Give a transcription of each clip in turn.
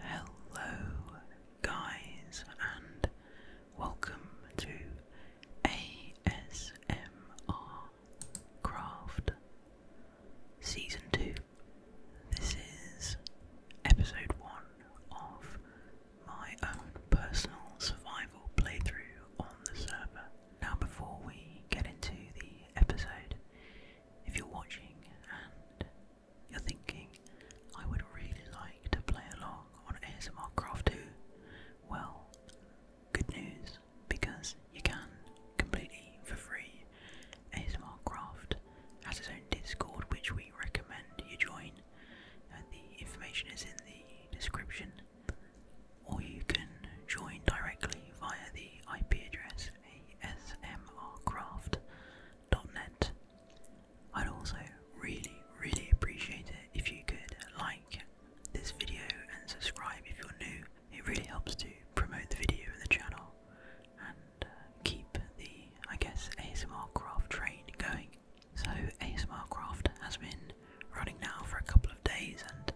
Hello, guys, and welcome to ASMR Craft Season 2. This is episode 1 of my own personal survival playthrough on the server. Now, before we get into the episode, if you're watching and you're thinking, I would really like to play along on ASMR Craft too. Well, good news, because you can completely for free. ASMR Craft has its own Discord, which we recommend you join. And the information is in the description. Or you can join directly via the IP address ASMR Craft. I'd also really, really appreciate it if you could like this video and subscribe if you're new. It really helps to promote the video and the channel and uh, keep the, I guess, ASMR craft train going. So ASMR craft has been running now for a couple of days and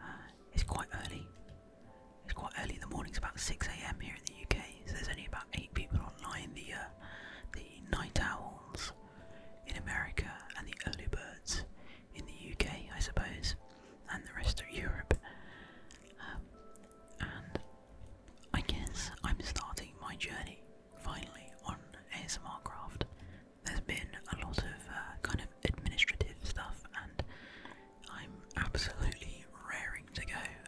uh, it's quite early. It's quite early in the morning. It's about 6 a.m. here in the UK. So there's only about eight people online. The uh, the night owls in America and the early birds in the UK, I suppose, and the rest of Europe. Um, and I guess I'm starting my journey finally on ASMR Craft. There's been a lot of uh, kind of administrative stuff and I'm absolutely raring to go and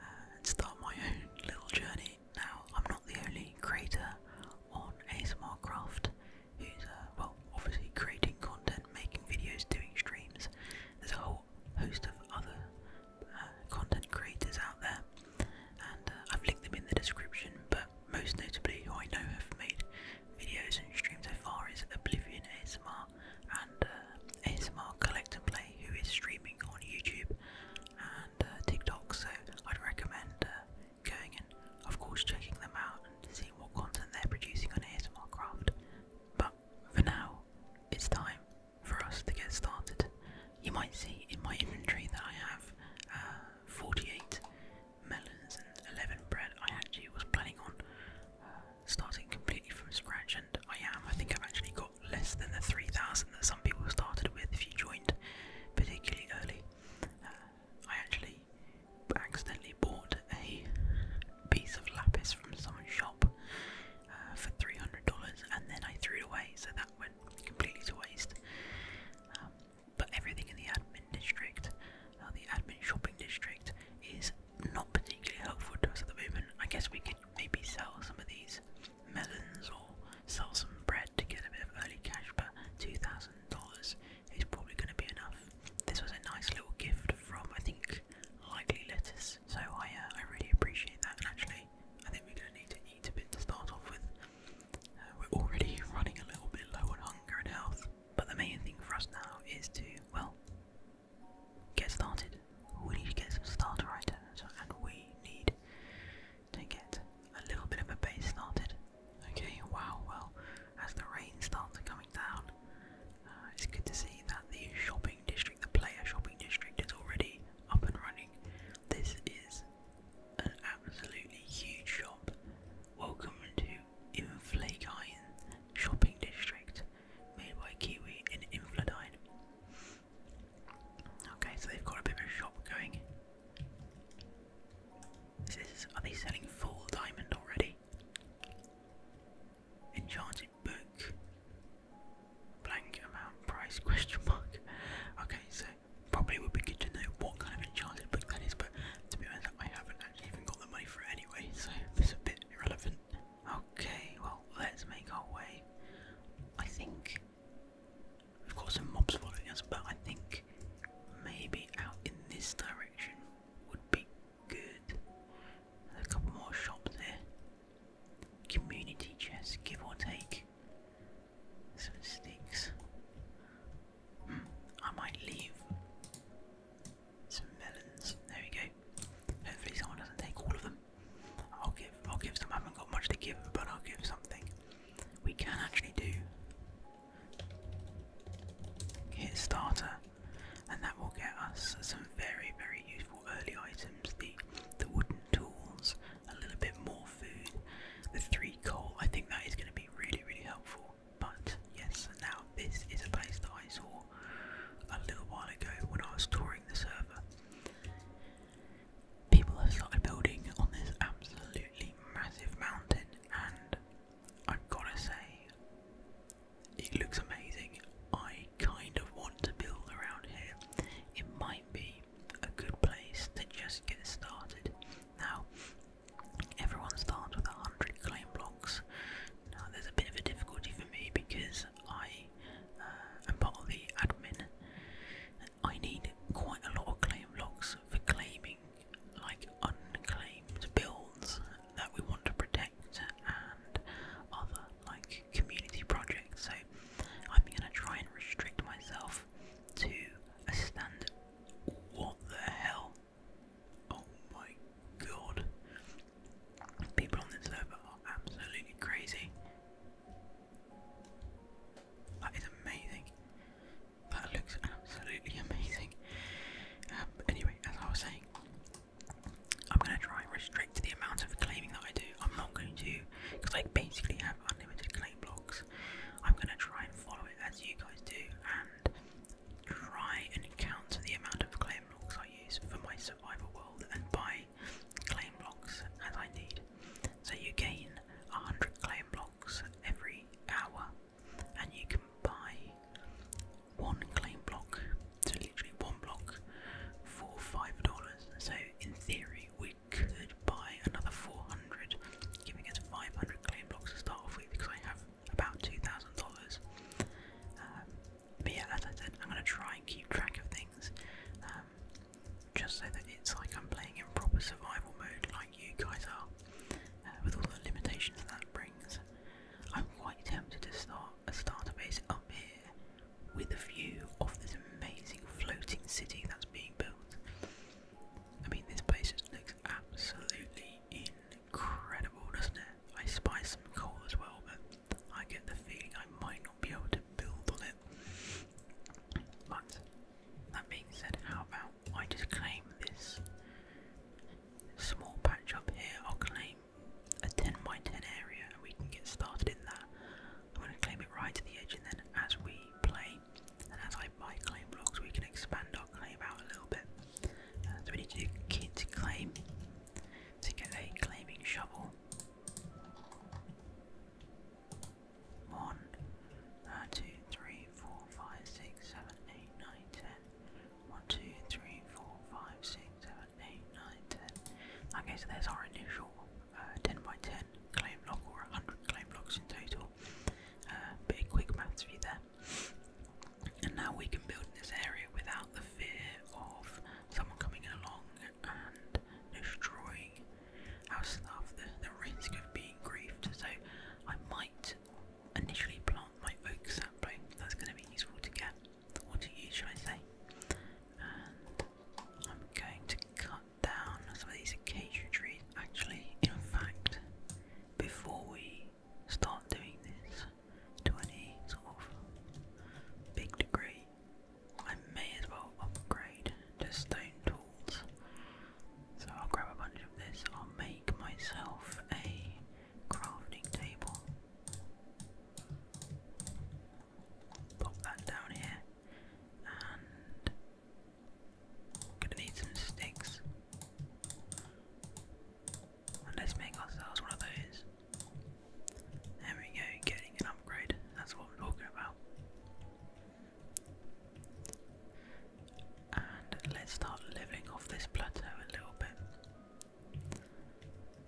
uh, start my own little journey. Now, I'm not the only creator on ASMR Craft who's, uh, well, obviously creating content, making videos, doing streams. There's a whole host of other uh, content creators out there, and I've linked them in the description. But most notably, who I know have made videos and streams so far is Oblivion ASMR, and uh, ASMR Collect and Play, who is streaming on YouTube and uh, TikTok. So I'd recommend uh, going and, of course, checking them out and seeing what content they're producing on ASMR Craft. But for now, it's time for us to get started. You might see in my inventory that I have 48 melons and 11 bread. I actually was planning on starting completely from scratch, and I am. I think I've actually got less than the 3,000 that some people started with if you joined particularly early. Uh, I actually accidentally bought a piece of lapis from someone's shop uh, for $300 and then I threw it away, so that went completely to waste. Um, but everything in the admin district, uh, the admin shopping district, is not particularly helpful to us at the moment. I guess we could maybe sell some of these melons or sell some bread to get a bit of early cash, but $2,000 is probably going to be enough. This was a nice little gift from, I think, Likely Lettuce, so I, uh, I really appreciate that. And actually, I think we're going to need to eat a bit to start off with. Uh, we're already running a little bit low on hunger and health, but the main thing for us now is to, well, get started. We need to get some starter items and we need to get a little bit of a base started. Okay, wow, well, as the rain starts coming down, uh, it's good to see that the shopping district, the player shopping district, is already up and running. This is an absolutely huge shop. Welcome to Inflakine Shopping District, made by Kiwi in Infladine. Okay, so they've got a bit of a shop going. This is, are they selling full diamond already? Enchanted book. Blank amount price question mark. Okay, so probably would be good to know what kind of enchanted book that is, but to be honest, I haven't actually even got the money for it anyway, so this is a bit irrelevant. Okay, well, let's make our way. I think we've got some mobs following us, but I think maybe out in this direction would be good. a couple more shops there. Community chest, give or take. Some sticks. Hmm, I might leave some melons. There we go. Hopefully, someone doesn't take all of them. I'll give I'll give some I haven't got much to give but I'll give something. We can actually do hit starter and that will get us some very very useful early items, the the wooden tools, a little bit more food, the three coal, I think that is gonna be really really helpful. But yes, now this is a place that I saw a little while ago when I was touring the server. People have started building on this absolutely massive mountain, and I've got to say, it looks amazing. I kind of want to build around here. It might be a good place to just get started. Now, everyone starts with 100 claim blocks. Now, there's a bit of a difficulty for me because I I'm uh, part of the admin. I need quite a lot of claim logs for claiming like unclaimed builds that we want to protect and other like community projects. So I'm gonna try and restrict myself to a standard. What the hell? Oh my god. People on this server are absolutely crazy. That is amazing. That looks absolutely amazing. Um, anyway, as I was saying, I'm going to try and restrict the amount of claiming that I do. I'm not going to, because I basically have unlimited claim blocks. I'm going to try and follow it as you guys do and try and count the amount of claim blocks I use for my survival world and buy claim blocks as I need. So you gain 100 claim blocks every hour, and you can buy one claim block, so literally one block, for $5. So in theory, we could buy another 400, giving us 500 claim blocks to start off with because I have about $2,000. But yeah, as I said, I'm going to try and keep track of things, um, just so that it's like I'm playing in proper survival mode, like you guys are, uh, with all the limitations that brings. I'm quite tempted to start a starter base up here, with a view of this amazing floating city that's being built. I mean, this place just looks absolutely incredible, doesn't it? I spy some coal as well, but I get the feeling I might not not be able to build on it. But that being said, how about I just claim this small patch up here? I'll claim a 10 by 10 area and we can get started in that. I'm going to claim it right to the edge, and then as we play and as I claim blocks, we can expand our claim out a little bit. Uh, so we need to do kids claim to get a claiming shovel. 1, uh, 2, 3, 4, 5, 6, 7, 8, 9, 10. 1, 2, 3, 4, 5, 6, 7, 8, 9, 10. Okay, so there's our initial uh, 10 by 10 claim block, or 100 claim blocks in total. Uh, bit of quick maths for you there. And now we can build in this area without the fear of someone coming along and destroying our stuff, the, the risk of being griefed. So I might initially plant my oak sapling, that's going to be useful to get, What to use, should I say. I'm going to cut down some of these acacia trees. Actually, in fact, before we start doing this to any sort of big degree, I may as well upgrade to stone tools. So I'll grab a bunch of this. I'll make myself a crafting table. Pop that down here. And am gonna need some sticks. let's make ourselves one of those. There we go, getting an upgrade. That's what I'm talking about. And let's start living off this plateau a little bit.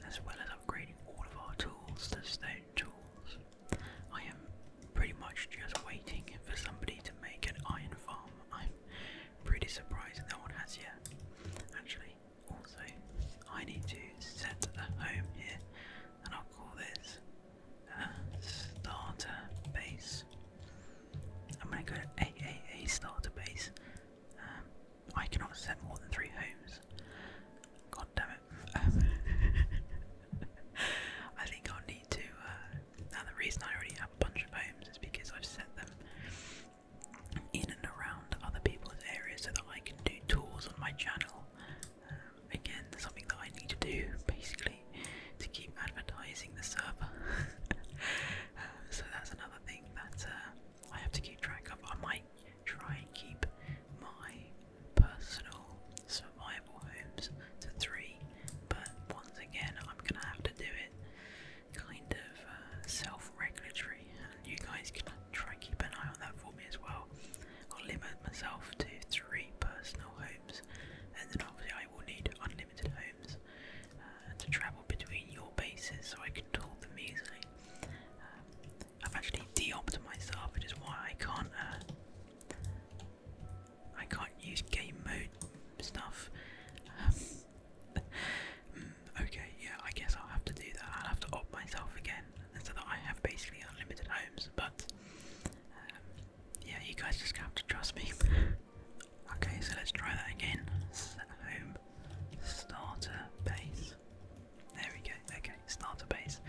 As well as upgrading all of our tools to stone tools. I am pretty much just waiting for somebody to make an iron farm. I'm pretty surprised no one has yet, actually. Also, I need to set a home here, and I'll call this starter base. I'm going to go to AAA starter base. Um, I cannot set more than three homes. God damn it. I think i need to. Uh, now, the reason I already have a bunch of homes is because I've set them in and around other people's areas so that I can do tours on my channel um, again, something that I need to do basically to keep advertising the server. um, so that's another thing that uh, I have to keep track of. I might try and keep my personal survival homes to three, but once again, I'm gonna have to do it kind of uh, self regulatory you guys can try and keep an eye on that for me as well. I'll limit myself to three personal homes, and then obviously I will need unlimited homes uh, to travel between your bases so I can tool them easily. Um, I've actually de-optimised myself, which is why I can't. Uh, I can't use game mode stuff. Um, mm, okay, yeah, I guess I'll have to do that. I'll have to opt myself again so that I have basically unlimited homes. But um, yeah, you guys just have to trust me. okay, so let's try that again. home starter base. There we go. Okay, starter base.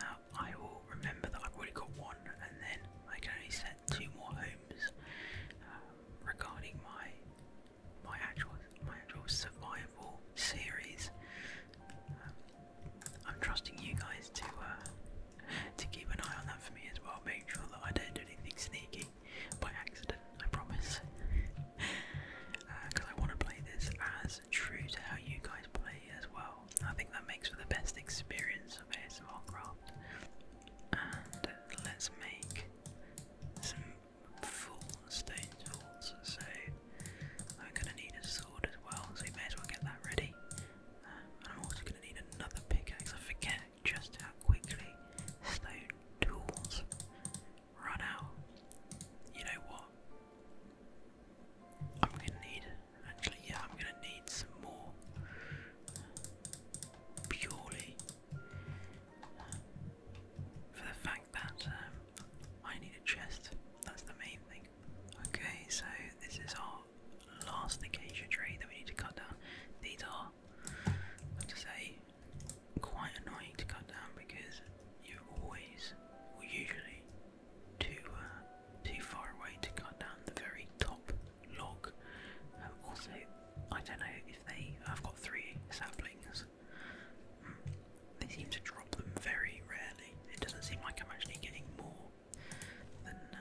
Now I will remember that I've already got one, and then I can only set two more homes um, regarding my my actual my actual survival series. Um, I'm trusting you guys to uh, to keep an eye on that for me as well. Make sure that I don't do anything sneaky by accident. I promise. Because uh, I want to play this as true to how you guys play as well. I think that makes for the best experience of ASMR And let's make some full stone tools. So I'm going to need a sword as well, so we may as well get that ready. Uh, I'm also going to need another pickaxe. I forget just how quickly stone tools run out. You know what? I'm gonna need, actually, yeah, I'm gonna need some more purely uh, for the fact that um, I need a chest. That's the main thing. Okay, so this is our last acacia tree that we need to cut down. These are, to say, quite annoying to cut down because you're always, or usually, too uh, too far away to cut down the very top log. also, I don't know if they. I've got three saplings. Hmm. They seem to drop them very rarely. It doesn't seem like I'm actually getting more than uh,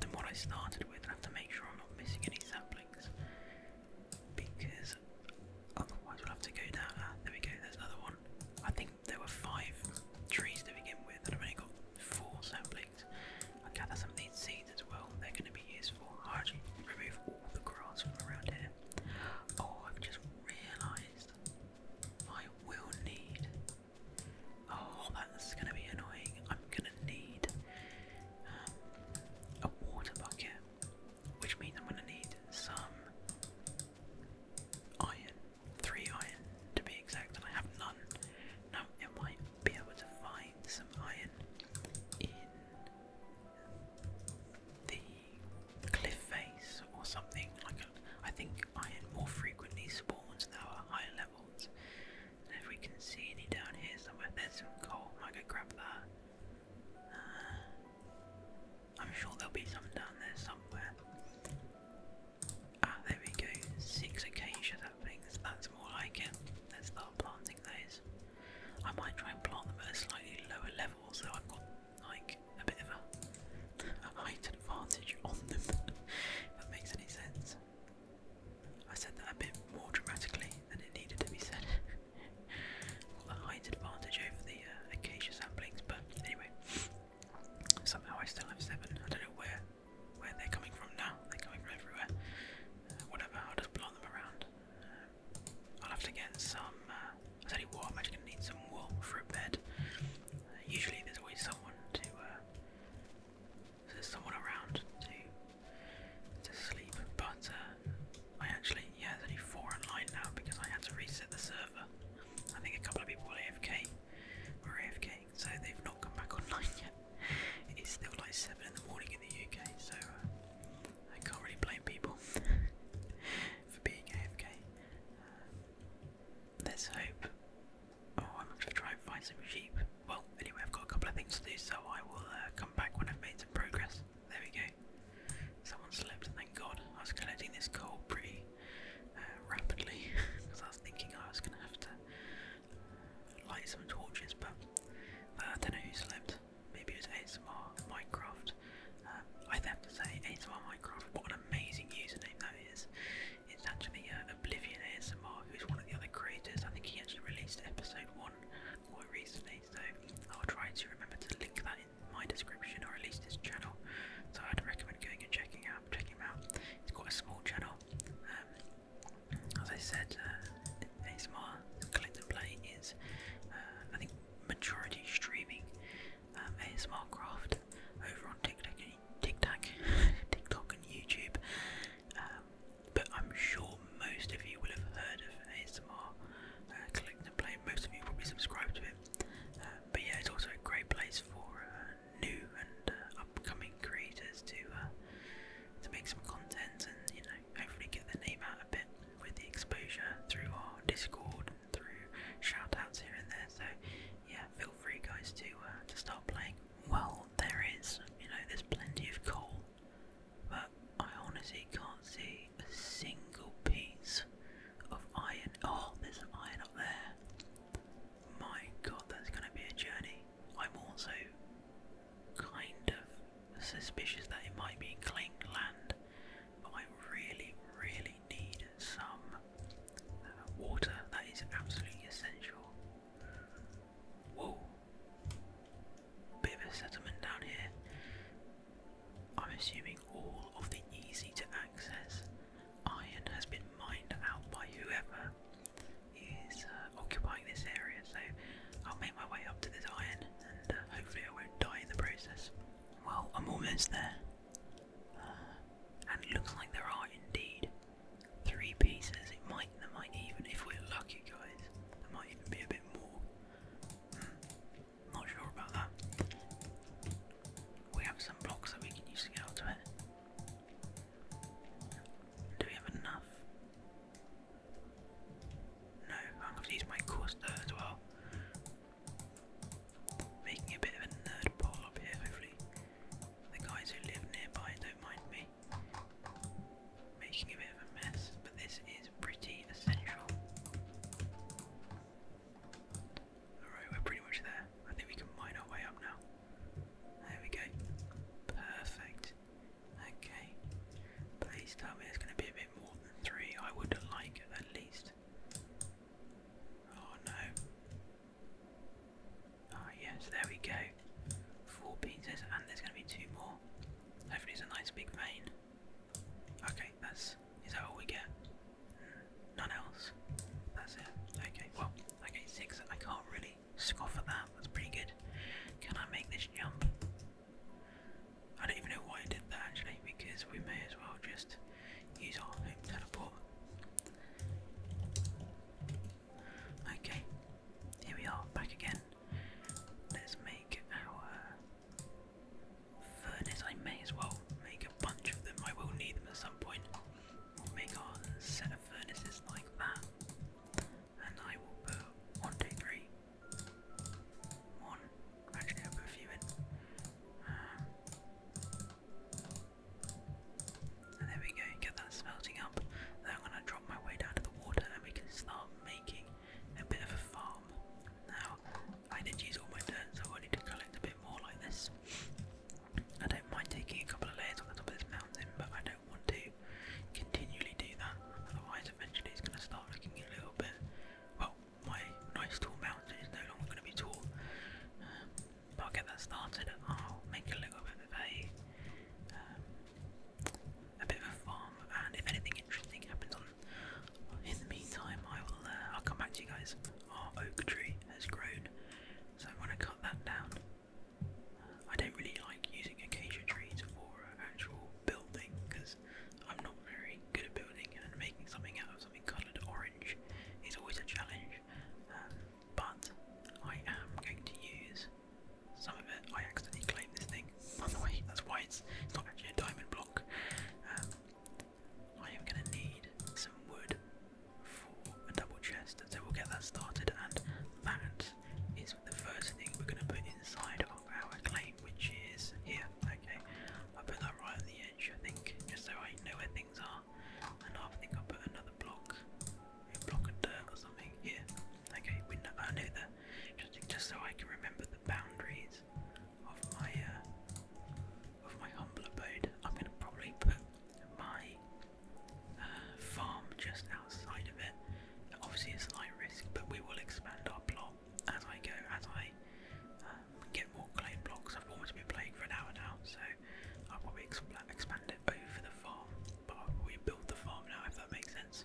than what I started with. I have to make sure I'm not missing any saplings because otherwise we'll have to go down. Ah, there we go. There's another one. I think there were five trees to begin with, and I've only got four saplings. I gather some of these seeds as well. They're going to be useful. I actually remove all the grass from around here. Oh, I've just realised I will need. Oh, that's gonna be annoying. I'm gonna need um, a water bucket, which means I'm gonna need some iron, three iron to be exact, and I have none. Now, I might be able to find some iron in the cliff face or something. Like that. I think iron more frequently spawns now at higher levels. And if we can see any down here somewhere, there's some coal. I could grab that. Uh, I'm sure there'll be some down there somewhere. Ah, there we go. Six acacia saplings. That's more like it. Let's start planting those. I might try and plant them at a slightly lower level, so I've got like a bit of a, height advantage on them, if that makes any sense. I said that a bit more dramatically than it needed to be said. height advantage over the uh, acacia saplings, but anyway, somehow I still have seven. I don't know where where they're coming from now. They're coming from everywhere. Uh, whatever, I'll just blow them around. Um, I'll have to get some um, I tell what, I'm actually going to need some wool for a bed. usually, there's always someone to. Uh, there's someone around to to sleep, but uh, I actually yeah, there's only four online now because I had to reset the server. I think a couple of people are AFK, were AFK, so they've not come back online yet. It's still like seven in the morning in the UK, so uh, I can't really blame people for being AFK. Let's hope. Oh, I'm going to try and find some sheep. Well, anyway, I've got a couple of things to do, so I will uh, come back when I've made some progress. There we go. Someone slept, thank God. I was collecting this coal pretty uh, rapidly because I was thinking I was going to have to light some torches, but uh, I don't know who slept. Maybe it was more Minecraft, I have to say, ASMR Minecraft, what an amazing username that is. It's actually uh, Oblivion ASMR, who's one of the other creators. I think he actually released episode 1 quite recently, so I'll try to remember to link that in my description or at least his channel. So I'd recommend going and checking out, checking him out. It's quite a small channel. Um, as I said, uh, ASMR Collect and Play is, uh, I think, majority streaming. Um, ASMR Craft over on TikTok, TikTok, TikTok and YouTube. Um, but I'm sure most of you will have heard of ASMR uh, Collect and playing, Most of you probably subscribe to it. Uh, but yeah, it's also a great place for uh, new and uh, upcoming creators to to make some content and you know hopefully get their name out a bit with the exposure through our Discord through shoutouts here and there. So yeah, feel free guys to uh, to start playing. Well, there is, you know, there's plenty of coal, but I honestly can't see a single piece of iron. Oh, there's some iron up there. My God, that's going to be a journey. I'm also kind of suspicious that it might be claimed land, but I really, really need some uh, water. That is absolutely essential. Whoa. Bit of a settlement down here. I'm assuming all of the easy to access iron has been mined out by whoever is uh, occupying this area, so I'll make my way up to this iron and uh, hopefully I won't die in the process. Well, I'm almost there and looks like there are indeed three pieces. It might, there might even, if we're lucky, guys, there might even be a bit more. Hmm. not sure about that. We have some blocks that we can use to get onto it. Do we have enough? No, I'm going to use my as well. Making a bit of a nerd pole up here, hopefully. The guys who live nearby don't mind me making a bit of a mess, but this is pretty essential. Alright, we're pretty much there. I think we can mine our way up now. There we go. Perfect. Okay. Please tell me there's going to be a bit more than three. I would like at least Oh no. Ah yes, there we go. Four pizzas and there's gonna be two more. Hopefully it's a nice big vein. Okay, that's is that all we get? None else. That's it. Okay, well, okay, six. I can't really scoff at that. That's pretty good. Can I make this jump? I don't even know why I did that actually, because we may as well just use our home teleport. Okay, here we are back again. Let's make our furnace. I may as well make a bunch of them, I will need them at some point. make our set of furnaces like that. And I will put Actually, I'll put and ah. ah, there we go, get that smelting up. Then I'm going to drop my way down to the water and we can start making a bit of a farm. Now, I did use all my dirt, so I need to collect a bit more like this. I don't mind taking a couple of layers on the top of this mountain, but I don't want to continually do that, otherwise, eventually it's going to start looking a little bit my nice tall mountain is no longer going to be tall. Um, but I'll get that started. I'll make a little bit of um, a bit of a farm, and if anything interesting happens on in the meantime, I will uh, I'll come back to you guys. Our oak tree has grown, so I'm to cut that down. I don't really like using acacia trees for actual building because I'm not very good at building and making something out of something coloured orange. It's always a challenge, um, but I am going to use some of it. I accidentally claimed this thing, by the that's why it's, it's not actually a diamond block. Um, I am going to need some wood for a double chest, so we'll get that started, and that is the first thing we're going to put inside of our claim, which is here. Okay, I put that right at the edge, I think, just so I know where I Okay, I know that just, so I can remember the boundaries of my uh, of my humble abode. I'm gonna probably put my uh, farm just outside of it. Obviously, it's a high risk, but we will expand our plot as I go, as I uh, get more clay blocks. I've almost been playing for an hour now, so I'll probably expand it over the farm, but i build the farm now if that makes sense.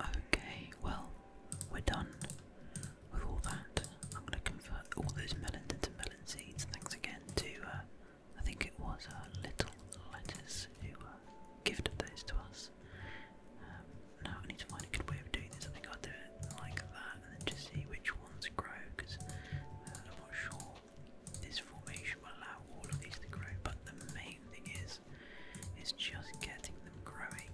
Okay, well, we're done with all that. I'm going to convert all those melons into melon seeds. Thanks again to, uh, I think it was uh, Little Lettuce who uh, gifted those to us. Um, now I need to find a good way of doing this. I think I'll do it like that and see which ones grow because I'm not sure this formation will allow all of these to grow, but the main thing is, is just getting them growing.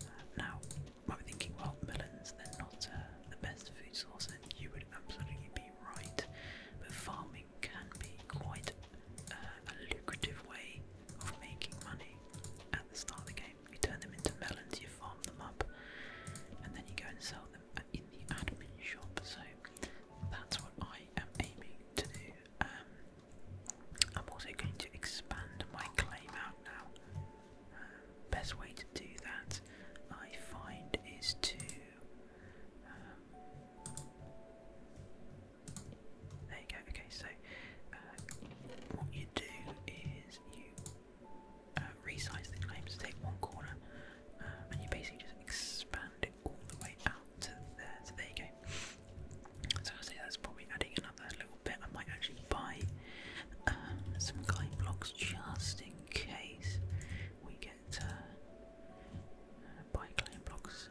Uh, now, you might be thinking, well, melons—they're not uh, the best food source, and you would absolutely be right. But farming can be quite uh, a lucrative way of making money. At the start of the game, you turn them into melons, you farm them up, and then you go and sell them in the admin shop. So that's what I am aiming to do. Um, I'm also going to expand my claim out now. Um, best way to do that, I find, is to. Um, there you go. Okay, so uh, what you do is you uh, resize the claim to take one corner, um, and you basically just expand all the way out there. So there you go. So I say that's probably adding another little bit. I might actually buy uh, some guide blocks just in case we get uh, uh, buy claim blocks.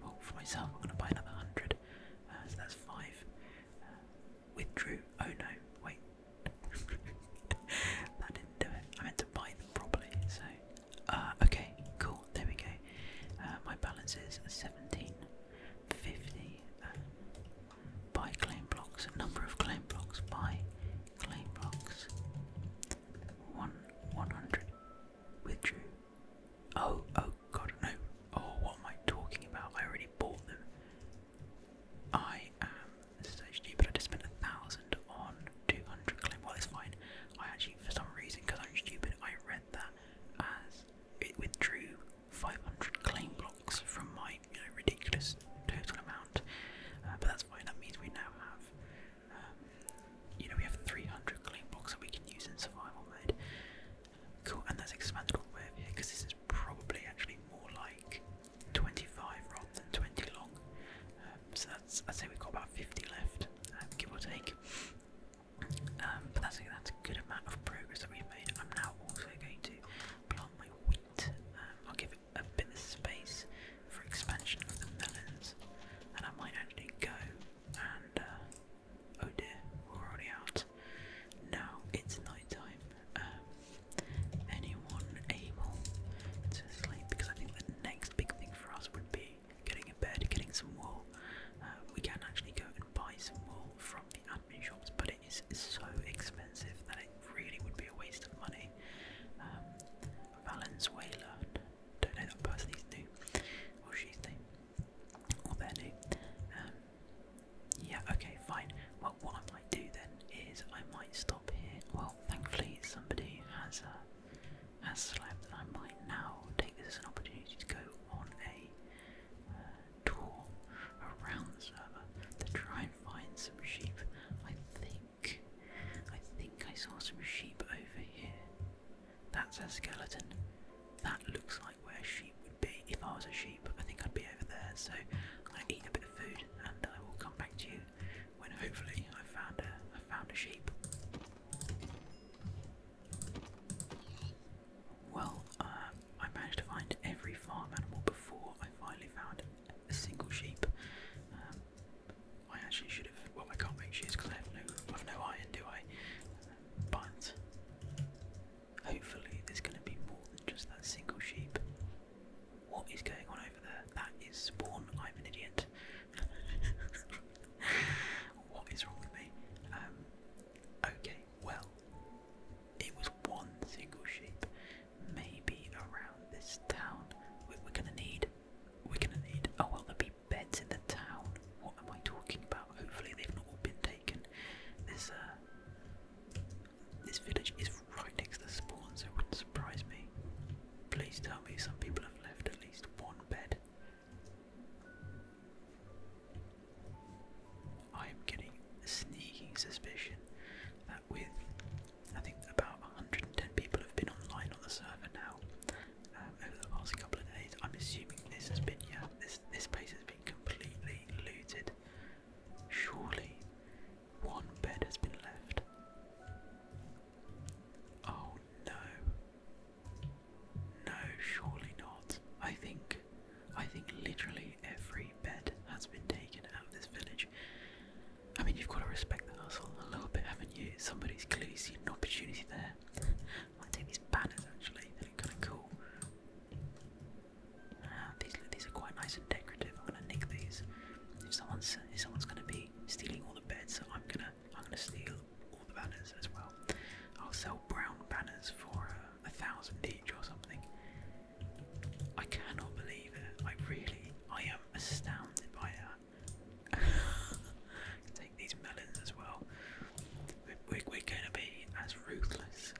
Well, for myself, I'm going to buy another hundred. Uh, so that's five. Uh, withdrew. Oh no! Wait, that didn't do it. I meant to to buy them properly. So, uh, okay, cool. There we go. Uh, my balance is seventeen fifty. Um, buy claim blocks. Number of claim blocks. Buy claim blocks. One one hundred. Withdrew. Oh oh god no. Oh what am I talking about? I already bought them. I am so but I just spent a thousand on two hundred claim. Well, fine. I actually, for some reason, because I'm stupid, I read that as it withdrew five hundred claim blocks from my ridiculous total amount. Uh, but that's fine. That means we now have, um, you know, we have three hundred claim blocks that we can use in survival mode. Cool, and that's expanded all the way here because this is probably actually more like 25 rather than 20 long. Um, so that's, I'd say we've got about 50 left. Um, give or take. Um, but that's a, good amount of progress that we've made. I'm now also going to plant my wheat. Um, I'll give it a bit of space for expansion of the melons, and I might actually go and. Uh, oh dear, we're already out. Now it's night time. anyone able to sleep? Because I think the next big thing for us would be getting a bed, getting some wool. Uh, we can actually go and buy some wool from the admin shops, but it is so expensive that it really would be a waste of money. Um, Valenzuela, don't know that person, he's new, or she's new, or they're new. Um, yeah, okay, fine. Well, what I might do then is I might stop here. Well, thankfully somebody has a. Uh, has I might now take this as an opportunity to go on a uh, tour around the server to try and find some sheep. I think, I think I saw some sheep over here. That's a skeleton. That looks like where a sheep would be. If I was a sheep, I think I'd be over there. So I'm eat a bit of food, and I will come back to you when hopefully I found a I found a sheep. Well, uh, I managed to find every farm animal before I finally found a single sheep. Um, I actually should have. Well, I can't make shears because I have no, I have no iron, do I? But hopefully, there's going to be more than just that single sheep. What is going on over there? That is spawn. I'm an idiot what is wrong with me? Um, okay, well, it was one single sheep. Maybe around this town. We're, gonna need. We're gonna need. Oh well, there be beds in the town. What am I talking about? Hopefully they've not all been taken. This uh, this village is right next to the spawn, so it wouldn't surprise me. Please tell me some people have left at least one bed. I am getting a sneaking suspicion that with I think about 110 people have been online on the server now um, over the past couple of days. I'm assuming this has been yeah this this place has been completely looted. Surely one bed has been left. Oh no. No, surely not. I think I think literally every bed has been taken out of this village. I mean, you've got to respect the hustle a little bit, haven't you? Somebody's clearly seen an opportunity there. I'll take these banners actually, they look kind of cool. Ah, these, these are quite nice and decorative. I'm going to nick these. If someone's, if someone's going to be stealing all the beds, I'm going to I'm gonna steal all the banners as well. I'll sell brown banners for uh, a thousand each or something. I cannot believe it. I really, I am astounded by that. Take these melons as well. We're, going to be as ruthless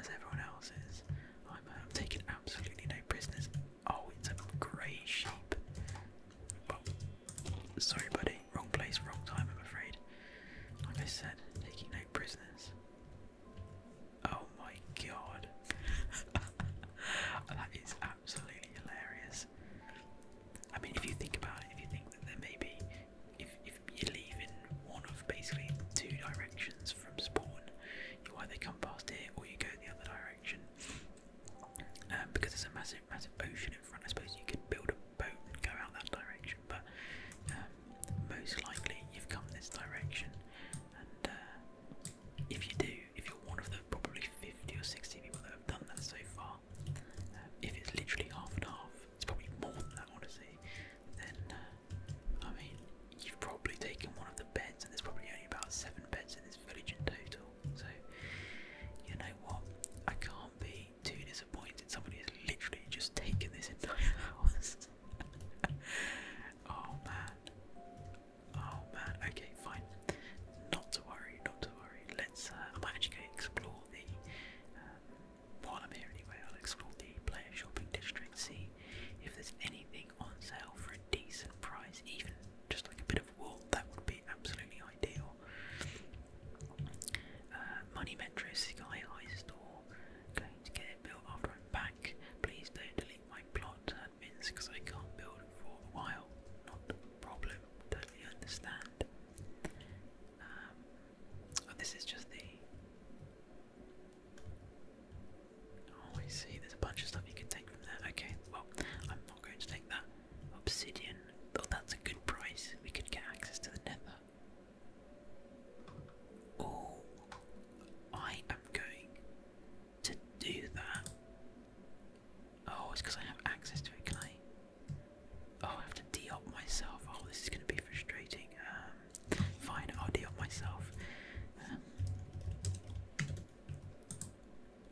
as everyone else is. I'm uh, taking absolutely no prisoners. Oh, it's a great sheep. Well, sorry, buddy wrong place, wrong time, I'm afraid. Like I said, taking no prisoners. Oh my god. that is absolutely hilarious. I mean, if you think about it, if you think that there may be, if, if you leave in one of basically two directions from spawn, you either come past here or you go the other direction. Um, because there's a massive, massive ocean in front. I suppose you could build a boat and go out that direction, but um, most likely you've come this direction. And uh, if you do, if you're one of the probably 50 or 60 people that have done that so far, um, if it's literally half and half, it's probably more than that, honestly, then uh, I mean, you've probably taken one of the beds, and there's probably only about seven beds in this village in total. So, you know what? I can't be too disappointed. Somebody has literally just taken this entire house. oh man. Oh man. Okay, fine. Not to worry. Not to worry. Let's. Uh, I might actually go explore the. Um, while I'm here anyway, I'll explore the player shopping district. See if there's anything on sale for a decent price, even just like a bit of well, that would be absolutely ideal. Uh, money Metro Sky High Store, going to get built after I'm back. Please don't delete my plot admins because I can't build for a while. Not problem, totally understand. Um, oh, this is just the. Oh, I see, there's a bunch of stuff you can take from there. Okay, well, I'm not going to take that. Obsidian. Though that's a good price. We could get access to the nether. Oh, I am going to do that. Oh, it's because I have access to it, can I? Oh, I have to de myself. Oh, this is going to be frustrating. Um, fine, I'll de myself. Um,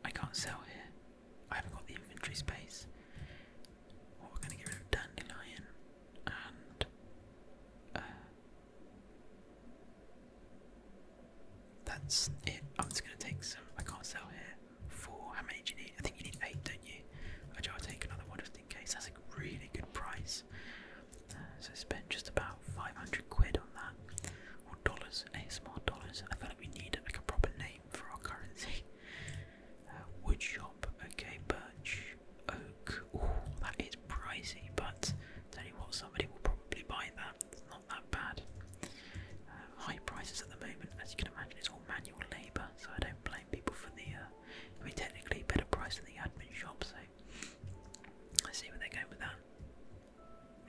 I can't sell here. I haven't got the inventory space. we're going to get rid of dandelion and. Uh, that's it. I'm just going to take some. I can't sell here. Four. How many you need? I think you need eight, don't you? I'll take another one just in case. That's a really good price. Uh, so I spent just about 500 quid on that. Or dollars. ASMR dollars. I feel like we need like a proper name for our currency. Uh, wood shop, okay, birch, oak. that is pricey, but tell you what, somebody will probably buy that. not that bad. Uh, high prices at the moment, as you can imagine, it's all manual labour, so I don't blame people for the. Uh, I mean, technically, better price than the admin shop, so let's see where they are going with that.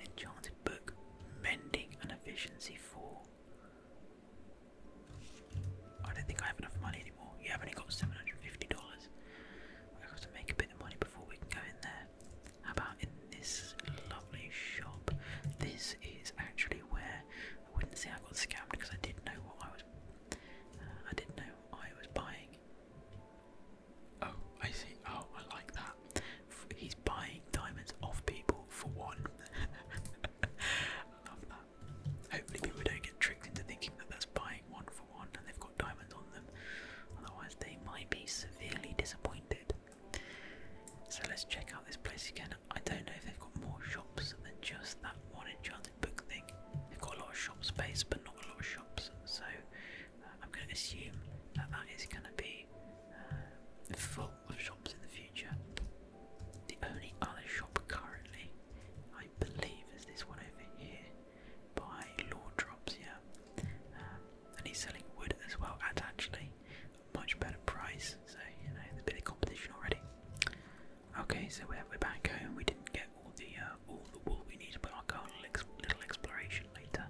Enchanted book, mending and efficiency 4. I don't think I have enough money anymore. You have only got $750. I have to make a bit of money before we can go in there. How about in this lovely shop? This is actually where I wouldn't say I got scammed because I didn't know what I was. Uh, I didn't know what I was buying. Oh, I see. Oh, I like that. He's buying diamonds off people for one. Hopefully, people don't get tricked into thinking that that's buying one for one and they've got diamonds on them, otherwise, they might be severely disappointed. So, let's check out this place again. I don't know if they've got more shops than just that one enchanted book thing. They've got a lot of shop space, but not a lot of shops, so uh, I'm going to assume that that is going to be uh, for of shops in the future. The only other shop currently, I believe, is this one over here by Drops. yeah. Um, and he's selling wood as well at actually a much better price, so you know, a bit of competition already. Okay, so we're, we're back home. We didn't get all the uh, all the wool we need, but I'll go on a little exploration later.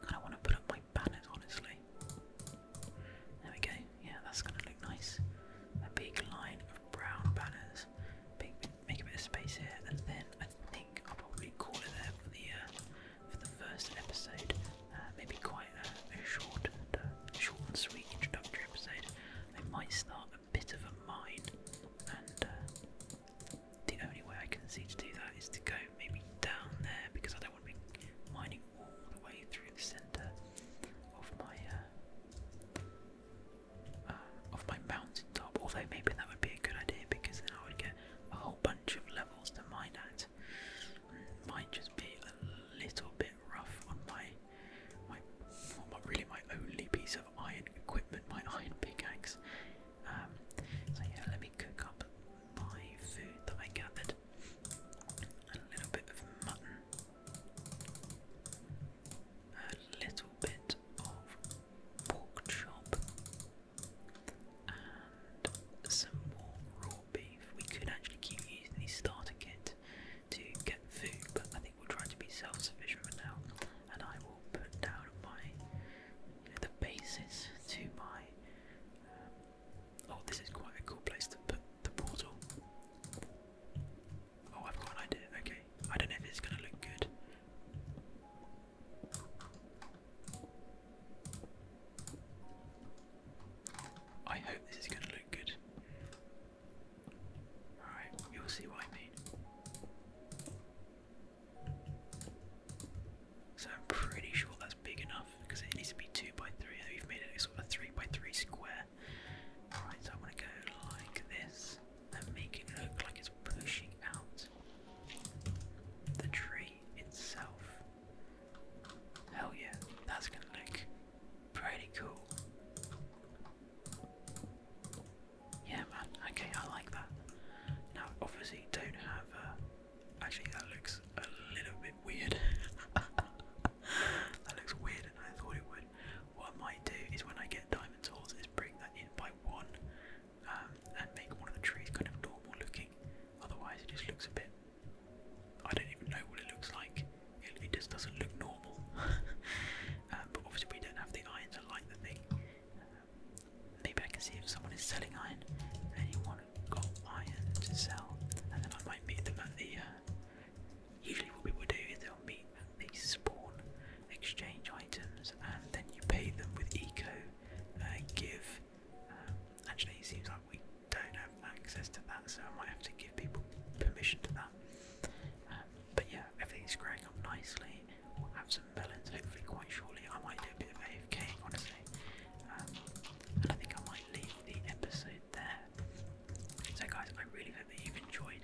And I want to put up banners, honestly. There we go. Yeah, that's gonna look nice. A big line of brown banners. Big, make a bit of space here, and then I think I'll probably call it there for the uh, for the first episode. Uh, maybe quite a, a short, and, uh, short and sweet introductory episode. I might start a bit of a mine, and the only way I can see to do that is to go maybe down there because I don't want to be mining all the way through the center of my uh, uh of my mountain top. Although maybe that would be a good idea because then I would get a whole bunch of levels to mine at. Mm, might just be a little bit rough on my my well, really my only piece of iron equipment, my iron pickaxe. Um, so yeah, let me cook up my food that I gathered a little bit of mutton, a little bit of pork chop, and some more raw beef. We could actually keep using the starter kit to get food, but I think we'll try to be self-sufficient for now. And I will put down my the basis to my um, Oh, this is quite a cool place to put the portal. Oh, I've got an idea. Okay, I don't know if it's going to look good. I hope this is going to look good. Alright, you'll see what I mean. So I'm pretty sure that's big enough because it needs to be two by three. And we've made it sort of a three by three square. Right, so I want to go like this and make it look like it's pushing out the tree itself. Hell yeah, that's gonna look pretty cool. Yeah, man. Okay, I like that. Now, obviously, don't have. Uh, actually, that looks a little bit weird. that looks weird, and I thought it would. What I might do is when I get diamond tools is bring that in by one um, and make one of the trees kind of normal looking. Otherwise it just looks a bit, I don't even know what it looks like. It, just doesn't look normal. Um, but obviously we don't have the iron to light the thing. Um, maybe I can see if someone is selling iron. Anyone got iron to sell? And then I might meet them at the uh, Usually, what people do is they'll meet at the spawn, exchange items, and then you pay them with eco. Uh, give. Um, actually, it seems like we don't have access to that, so I might have to give people permission to that. Um, but yeah, everything's growing up nicely. We'll have some melons hopefully quite shortly. I might do a bit of AFK, honestly. Um, and I think I might leave the episode there so guys, I really hope that you've enjoyed.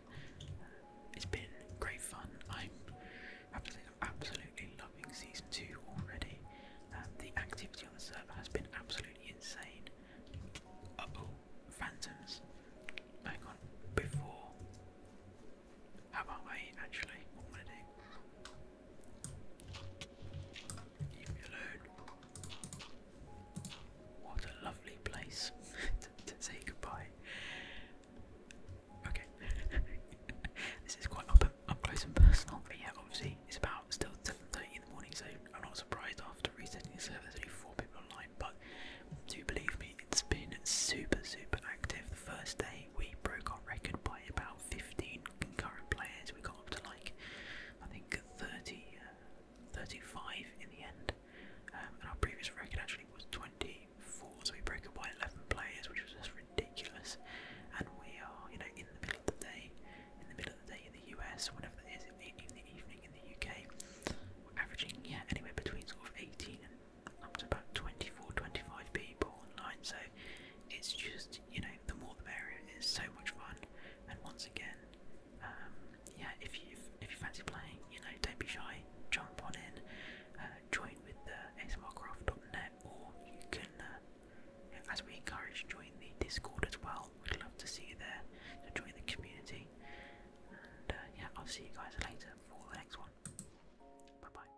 it's been great fun. I'm absolutely, loving season two already. Um, the activity on the server has been absolutely insane. Uh oh, phantoms. Hang on, before. How about I actually? What am I going Leave me alone. What a lovely place to, say goodbye. Okay, this is quite up, close and personal, but yeah, obviously it's about still 7.30 in the morning, so I'm not surprised after resetting the there's only four people online, but do believe me, it's been super, super active. The first day we broke our record by about 15 concurrent players, we got up to like, I think 30, uh, 35 in the end. Um, and our previous record actually was 24, so we broke it by 11 players, which was just ridiculous. And we are, you know, in the middle of the day, in the middle of the day in the US, whatever that is, in the, evening in the UK, we're averaging, yeah, anywhere between sort of 18 and up to about 24, 25 people online. So it's just, you know, the more the merrier. It's so much fun. And once again, um, yeah, if you if you fancy playing, you know, don't be shy. Jump on in, uh, join with the ASMRcraft.net, or you can, uh, as we encourage, join the Discord as well. We'd love to see you there. So join the community, and uh, yeah, I'll see you guys later for the next one. Bye bye.